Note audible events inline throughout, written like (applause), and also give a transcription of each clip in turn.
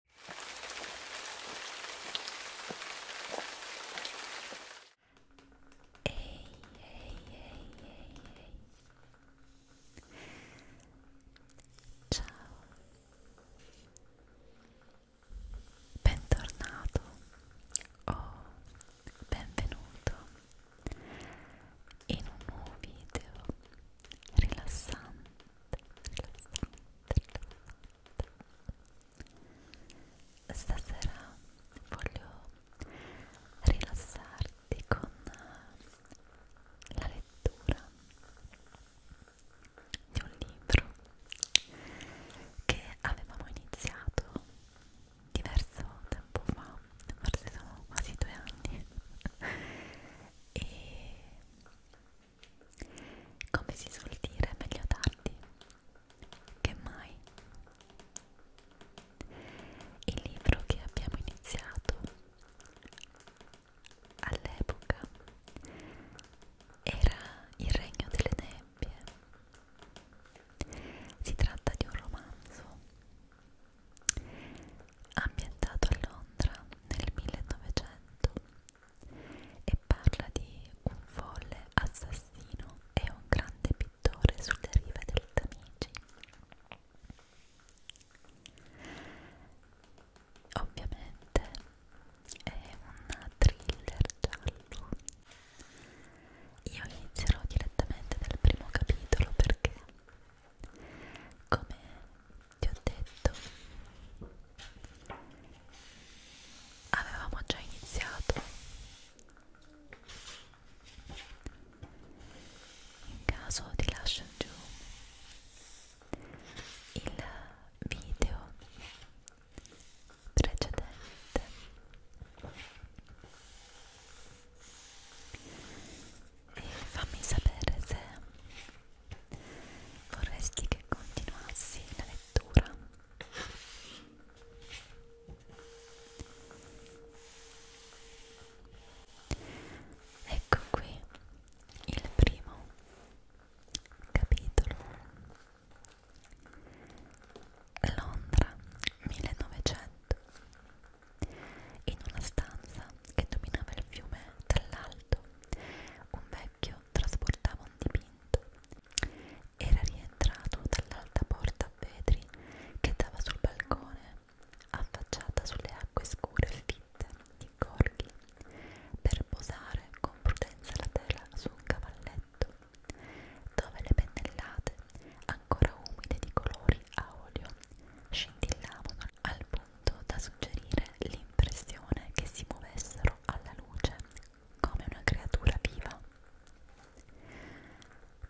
Ehi, ehi, ehi, ehi, ehi. Ciao. Bentornato o oh, benvenuto in un nuovo video rilassante Stasera voglio rilassarti con la lettura di un libro che avevamo iniziato diverso tempo fa, forse sono quasi due anni (laughs) e come si suol dire, meglio tardi che mai. Il libro che abbiamo iniziato all'epoca era Il Regno delle Nebbie. Si tratta di un romanzo ambientato a Londra nel 1900 e parla di un folle assassino e un grande pittore sulle rive del Tamigi. Ovviamente è un thriller giallo. Io inizierò direttamente dal primo capitolo perché, come ti ho detto avevamo già iniziato in caso ti lascio giù il video precedente e fammi sapere se vorresti che continuassi la lettura? Ecco qui il primo capitolo Londra 1900 in una stanza che dominava il fiume dall'alto un vecchio specchio trasportava un dipinto. Era rientrato dall'alta porta a vetri che dava sul balcone, affacciata sulle acque scure e fitte di corghi, per posare con prudenza la tela su un cavalletto, dove le pennellate, ancora umide di colori a olio, scintillavano al punto da suggerire l'impressione che si muovessero alla luce come una creatura viva.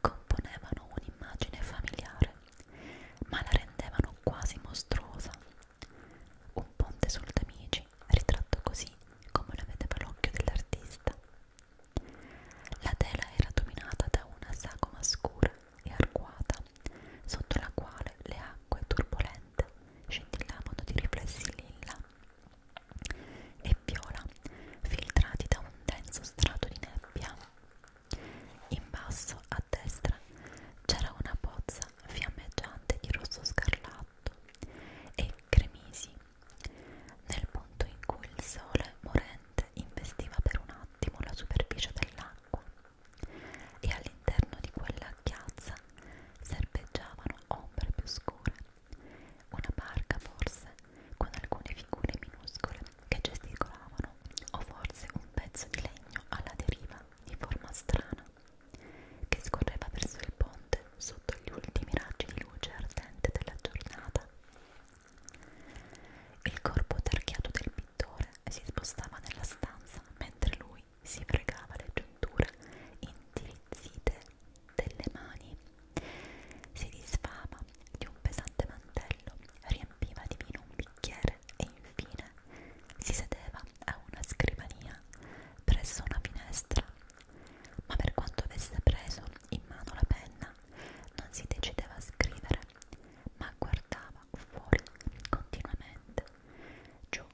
Componevano un'immagine familiare, ma la rendevano quasi mostruosa. Un ponte sul Tamigi, ritratto così come lo vedeva l'occhio dell'artista. La tela era dominata da una sagoma scura e arcuata piazza, sotto la quale le acque turbolente scintillavano di riflessi lilla e viola, filtrati da un denso strato di nebbia. In basso, a destra, c'era una pozza fiammeggiante di rosso scarlatto e cremisi, nel punto in cui il sole morente investiva per un attimo la superficie dell'acqua e all'interno di quella chiazza serpeggiavano ombre più scure, una barca forse con alcune figure minuscole che gesticolavano o forse un pezzo di legno alla deriva di forma strana che scorreva verso il ponte sotto gli ultimi raggi di luce ardente della giornata. Il corpo tarchiato del pittore si spostava nella stanza mentre lui cui si fregava le giunture indirizzite delle mani. Si disfava di un pesante mantello, riempiva di vino un bicchiere e infine si sedeva a una scrivania presso una finestra. Ma per quanto avesse preso in mano la penna, non si decideva a scrivere, ma guardava fuori continuamente, giù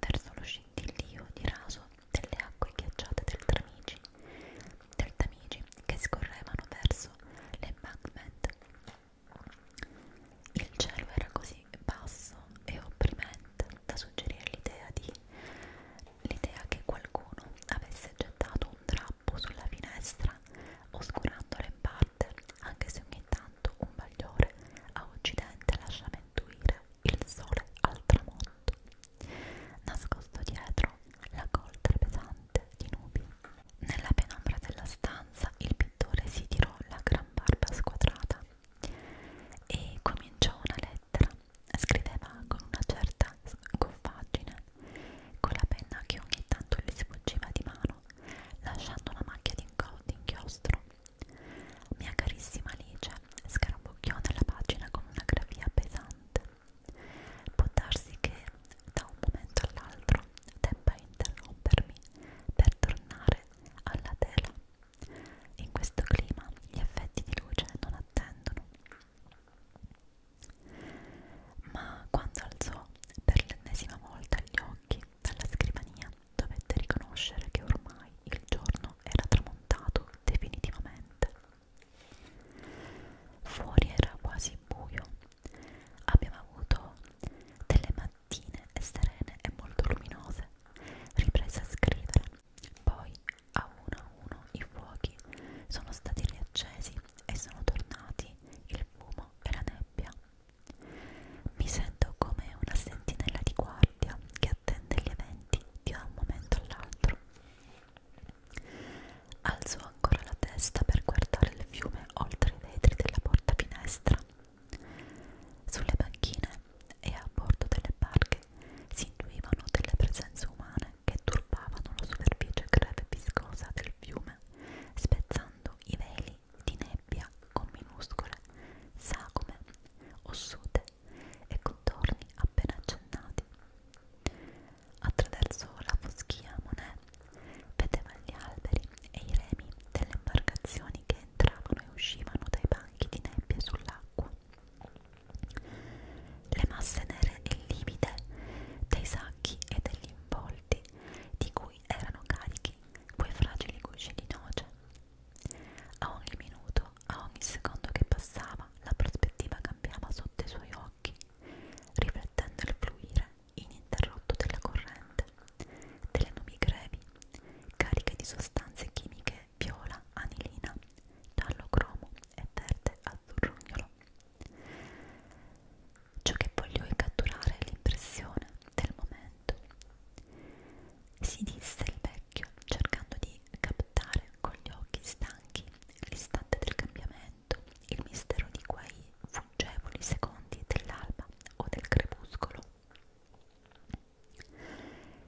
verso lo scintillio di raso delle acque ghiacciate del Tamigi, del Tamigi che scorrevano verso l'embankment. Il cielo era così basso e opprimente da suggerire l'idea di l'idea che qualcuno avesse gettato un drappo sulla finestra oscurando le pattern, anche se ogni tanto un bagliore a occidente lasciava intuire il sole al tramonto. Nascosto dietro la coltre pesante di nubi. Nella penombra della stanza il pittore si tirò la gran barba squadrata e cominciò una lettera. Scriveva con una certa goffaggine, con la penna che ogni tanto gli sfuggiva di mano, lasciando una macchia di inchiostro mia carissima Alice, scarabocchiò nella pagina con una gravia pesante. Può darsi che da un momento all'altro debba interrompermi per tornare alla tela. In questo clima gli effetti di luce non attendono. Ma quando alzò per l'ennesima volta gli occhi, dalla scrivania dovette riconoscere che ormai il giorno era tramontato definitivamente. Fuori era quasi buio, abbiamo avuto delle mattine serene e molto luminose, riprese a scrivere, poi a uno a uno i fuochi sono stati riaccesi e sono tornati il fumo e la nebbia mi sento come una sentinella di guardia che attende gli eventi di un momento all'altro. Alzo ancora la testa per guardare il fiume oltre i vetri della porta finestra. Sulle banchine e a bordo delle barche si intuivano delle presenze umane che turbavano la superficie greve e viscosa del fiume, spezzando i veli di nebbia con minuscole sagome, ossute e contorni appena accennati. Attraverso la foschia Monet vedeva gli alberi e i remi delle imbarcazioni che entravano e uscivano dai banchi di nebbia sull'acqua. Le masse nere e livide dei sacchi e degli involti di cui erano carichi quei fragili gusci di noce. A ogni minuto, a ogni secondo che passava, la prospettiva cambiava sotto i suoi occhi, riflettendo il fluire ininterrotto della corrente, delle nubi grevi, cariche di sostanze chimiche viola, anilina, tallo cromo e verde azzurrognolo. Ciò che voglio è catturare l'impressione del momento si disse il vecchio cercando di captare con gli occhi stanchi l'istante del cambiamento, il mistero di quei fuggevoli secondi dell'alba o del crepuscolo.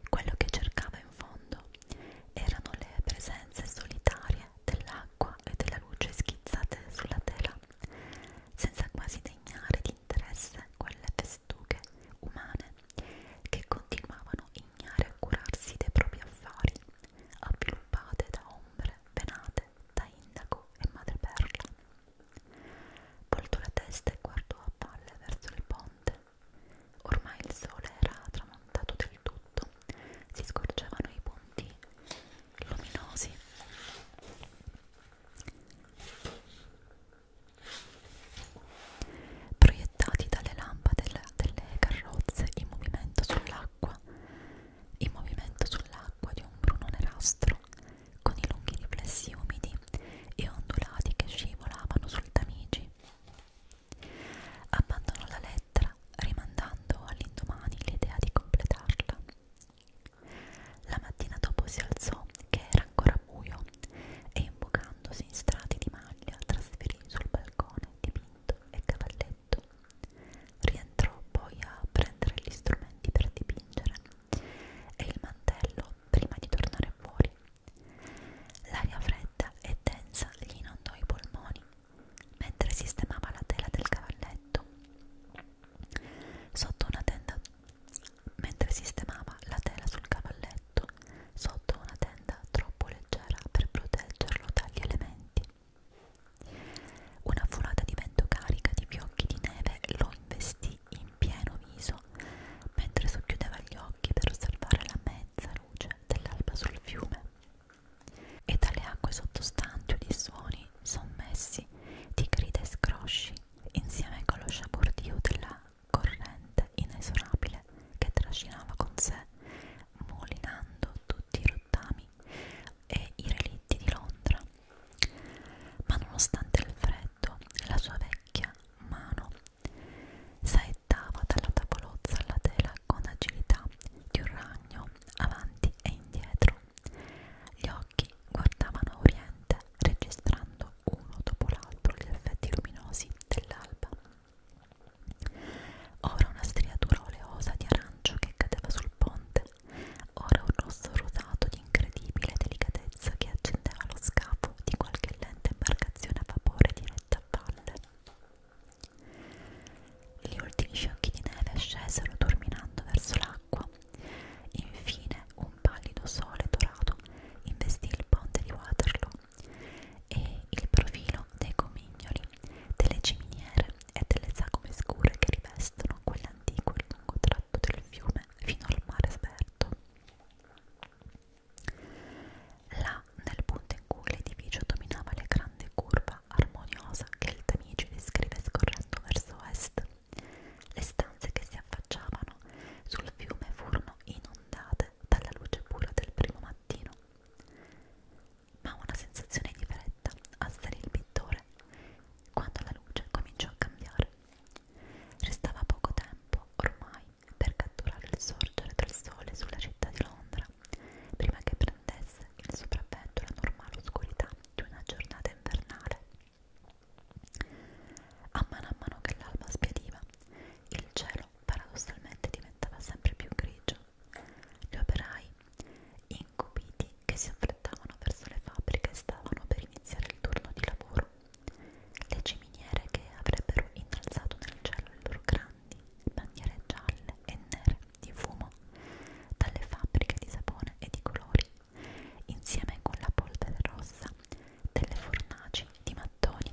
Quello che cercava in fondo erano le presenze solitarie dell'acqua e della luce schizzate sulla tela, senza quasi degnare interesse quelle festughe umane che continuavano ignare a curarsi dei propri affari, avviluppate da ombre venate da indaco e madreperla. Voltò la testa e guardò a valle verso il ponte. Ormai il sole era tramontato del tutto, si scorgevano i punti luminosi proiettati dalle lampade delle carrozze in movimento sull'acqua, in movimento sull'acqua di un bruno nerastro, con i lunghi riflessi umidi e ondulati che scivolavano sul tamigi. Abbandonò la lettera, rimandando all'indomani l'idea di completarla. La mattina dopo si alzò, che era ancora buio, e imbucandosi in strati di maglia trasferì sul balcone dipinto e cavalletto. Rientrò poi a prendere gli strumenti per dipingere e il mantello prima di tornare fuori. L'aria fredda e densa gli inondò i polmoni mentre sistemava la tela del cavalletto. Sotto una tenda mentre sistemava la tela sul cavalletto sotto una tenda troppo leggera per proteggerlo dagli elementi. Una folata di vento carica di fiocchi di neve lo investì in pieno viso mentre socchiudeva gli occhi per osservare la mezza luce dell'alba sul fiume e dalle acque sottostanti udì suoni sommessi di grida e scrosci insieme con lo sciabordio della corrente inesorabile che trascinava con sé, molinando tutti i rottami e i relitti di Londra. Ma nonostante il freddo, la sua vecchia mano saettava dalla tavolozza alla tela con agilità di un ragno avanti e indietro gli occhi guardavano a oriente, registrando uno dopo l'altro gli effetti luminosi dell'alba. Ora una striatura oleosa di arancio che cadeva sul ponte, ora un rosso rosato di incredibile delicatezza che accendeva lo scafo di qualche lenta imbarcazione a vapore diretta a valle. Gli ultimi fiocchi di neve scesero turminando verso l'acqua Infine un pallido sole dorato investì il ponte di Waterloo e il profilo dei comignoli, delle ciminiere e delle sagome scure che rivestono quell'antico e lungo tratto del fiume fino al mare sperto. Là, nel punto in cui l'edificio dominava la grande curva armoniosa che il Tamigi descrive scorrendo verso est, le stanze che si affacciavano sul fiume furono inondate dalla luce pura del primo mattino. Ma una sensazione di fretta assalì il pittore quando la luce cominciò a cambiare. Restava poco tempo ormai per catturare il sorgere del sole sulla città di Londra prima che prendesse il sopravvento la normale oscurità di una giornata invernale. A mano a mano che l'alba spediva, il cielo paradossalmente diventava sempre più grigio. Gli operai, incupiti, che si affrettavano verso le fabbriche, stavano per iniziare il turno di lavoro. Le ciminiere che avrebbero innalzato nel cielo le loro grandi bandiere gialle e nere di fumo dalle fabbriche di sapone e di colori insieme con la polvere rossa delle fornaci di mattoni.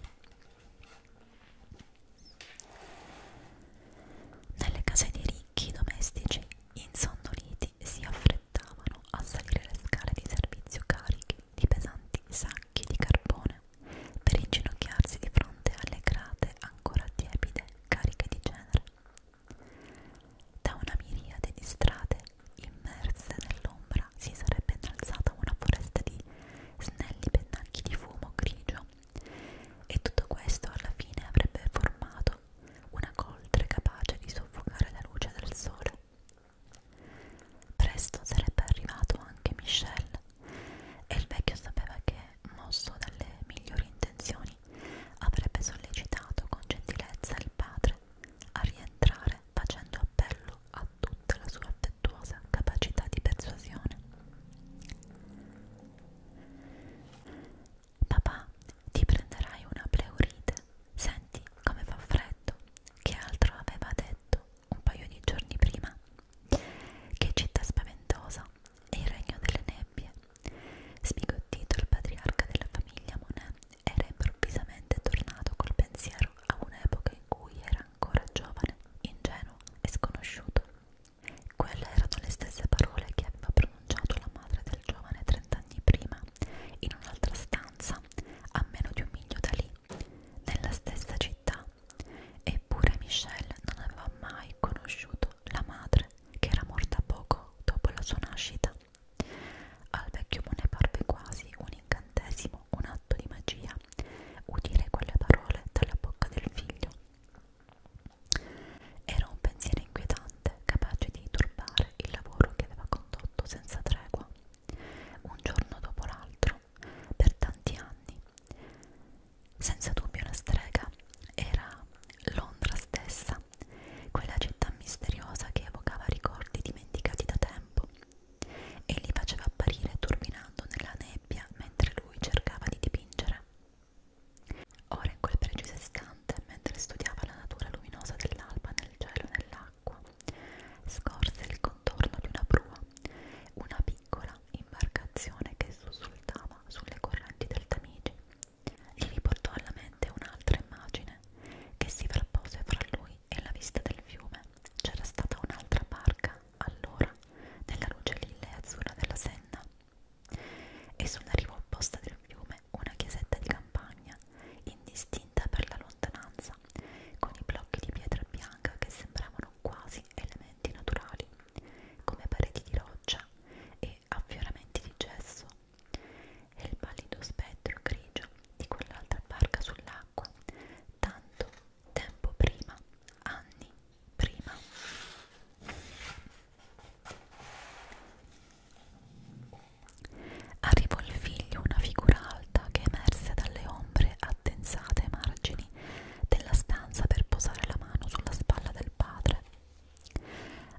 Nelle case dei ricchi domestici insonnoliti si affrettavano a salire le scale di servizio cariche di pesanti sacchi di carbone per inginocchiarsi di fronte alle grate ancora tiepide cariche di cenere. Da una miriade di strade immerse nell'ombra si sarebbe innalzata una foresta di snelli pennacchi di fumo grigio e tutto questo alla fine avrebbe formato una coltre capace di soffocare la luce del sole. Presto sarebbe arrivato anche Michel e il vecchio sapeva che, mosso dalle migliori intenzioni, avrebbe sollecitato con gentilezza il padre a rientrare facendo appello a tutta la sua affettuosa capacità di persuasione. Papà, ti prenderai una pleurite. Senti come fa freddo. Che altro aveva detto un paio di giorni prima? Che città spaventosa e il regno delle nebbie. Sbigottito il patriarca della famiglia Monet era improvvisamente tornato col pensiero a un'epoca in cui era ancora giovane, ingenuo e sconosciuto. Quelle erano le stesse parole che aveva pronunciato la madre del giovane trent'anni prima, in un'altra stanza, a meno di un miglio da lì, nella stessa città. Eppure Michelle non aveva mai conosciuto la madre, che era morta poco dopo la sua nascita. Al vecchio Mone parve quasi un incantesimo, un atto di magia, udire quelle parole dalla bocca del figlio. Era un pensiero inquietante, capace di turbare il lavoro che aveva condotto senza tregua, un giorno dopo l'altro, per tanti anni. Senza dubbio una strega era Londra stessa, quella città misteriosa che evocava ricordi dimenticati da tempo e li faceva apparire turbinando nella nebbia mentre lui cercava di dipingere. Ora in quel preciso istante, mentre studiava la natura luminosa dell'alba nel cielo e nell'acqua, scorse il contorno di una prua, una piccola imbarcazione che sussultava sulle correnti del Tamigi gli riportò alla mente un'altra immagine che si frappose fra lui e la vista del fiume. C'era stata un'altra barca, allora, nella luce lilla e azzurra della Senna. E sulla riva opposta del fiume una chiesetta di campagna, indistinta per la lontananza, con i blocchi di pietra bianca che sembravano quasi elementi naturali, come pareti di roccia e affioramenti di gesso e il pallido spettro grigio di quell'altra barca sull'acqua, tanto tempo prima, anni prima. Arrivò il figlio, una figura alta che emerse dalle ombre addensate ai margini della stanza per posare la mano sulla spalla del padre.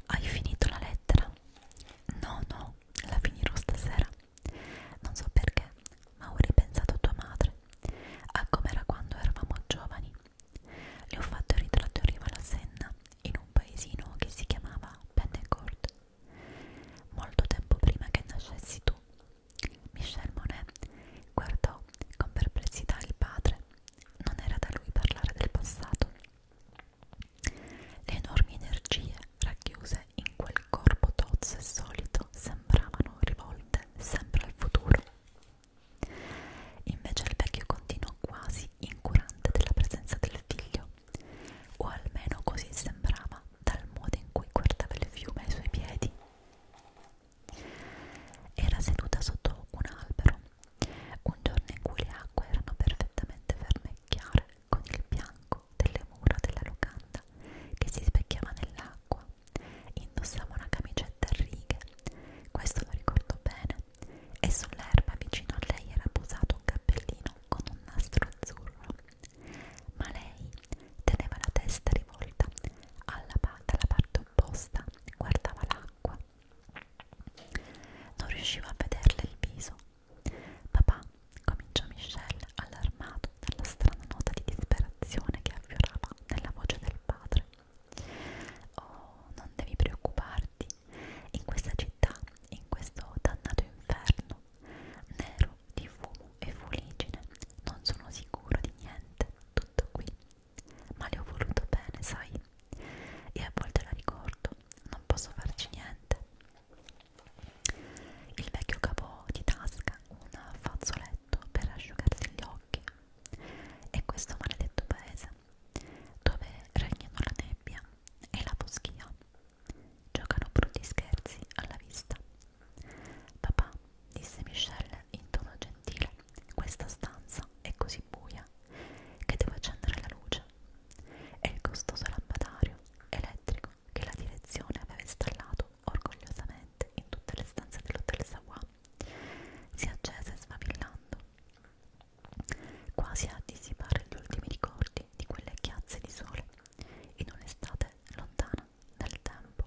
Hai finito la lettera? No, no, la finirò stasera. Non so perché, ma ho ripensato a tua madre, a come era quando eravamo giovani. Le ho fatto il ritratto in riva alla Senna, in un paesino che si chiamava Pennecord. Molto tempo prima che nascessi tu, Michel Monet guardò con perplessità il padre. Non era da lui parlare del passato. Le enormi energie racchiuse in quel corpo tozzo e solido sembravano rivolte sempre al futuro. Invece il vecchio continuò quasi incurante della presenza del figlio, o almeno così sembrava dal modo in cui guardava il fiume ai suoi piedi. Era seduta sotto un albero un giorno in cui le acque erano perfettamente ferme e chiare, con il bianco delle mura della locanda che si specchiava nell'acqua, indossava una camicetta a righe, questo lo ricordo bene, e sull'erba vicino a lei era posato un cappellino con un nastro azzurro. Ma lei teneva la testa rivolta alla dalla parte opposta, guardava l'acqua. Non riusciva a vederle il viso, Papà, cominciò Michelle, allarmato dalla strana nota di disperazione che affiorava nella voce del padre. Oh, non devi preoccuparti. In questa città, in questo dannato inferno, nero di fumo e fuligine, non sono sicuro di niente, tutto qui. Ma le ho voluto bene, sai? e a volte la ricordo, non posso farci niente. Il vecchio cavò di tasca un fazzoletto per asciugarsi gli occhi e questo maledetto paese dove regnano la nebbia e la foschia giocano brutti scherzi alla vista. Papà, disse Michelle in tono gentile, questa stanza è così buia che devo accendere la luce e il costoso lampadario elettrico che la direzione aveva installato orgogliosamente in tutte le stanze dell'hotel Sawa si accese sfavillando quasi a dissipare gli ultimi ricordi di quelle chiazze di sole in un'estate lontana nel tempo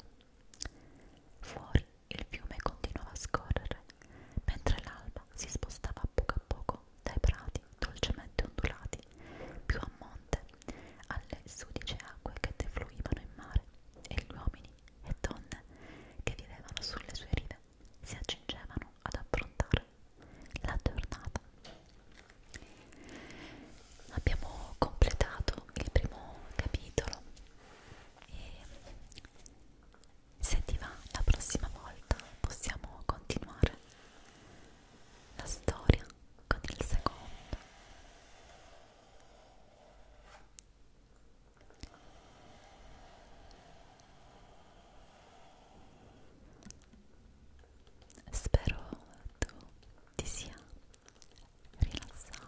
fuori il fiume continuava a scorrere mentre l'alba si spostava a poco a a poco dai prati dolcemente ondulati, più a monte, alle sudice acque che defluivano in mare, e gli uomini e donne che vivevano sulle sue rive si accingevano ad affrontare la giornata. Abbiamo completato il primo capitolo e se ti va, la prossima volta possiamo continuare la storia con il secondo. Spero tu ti sia rilassato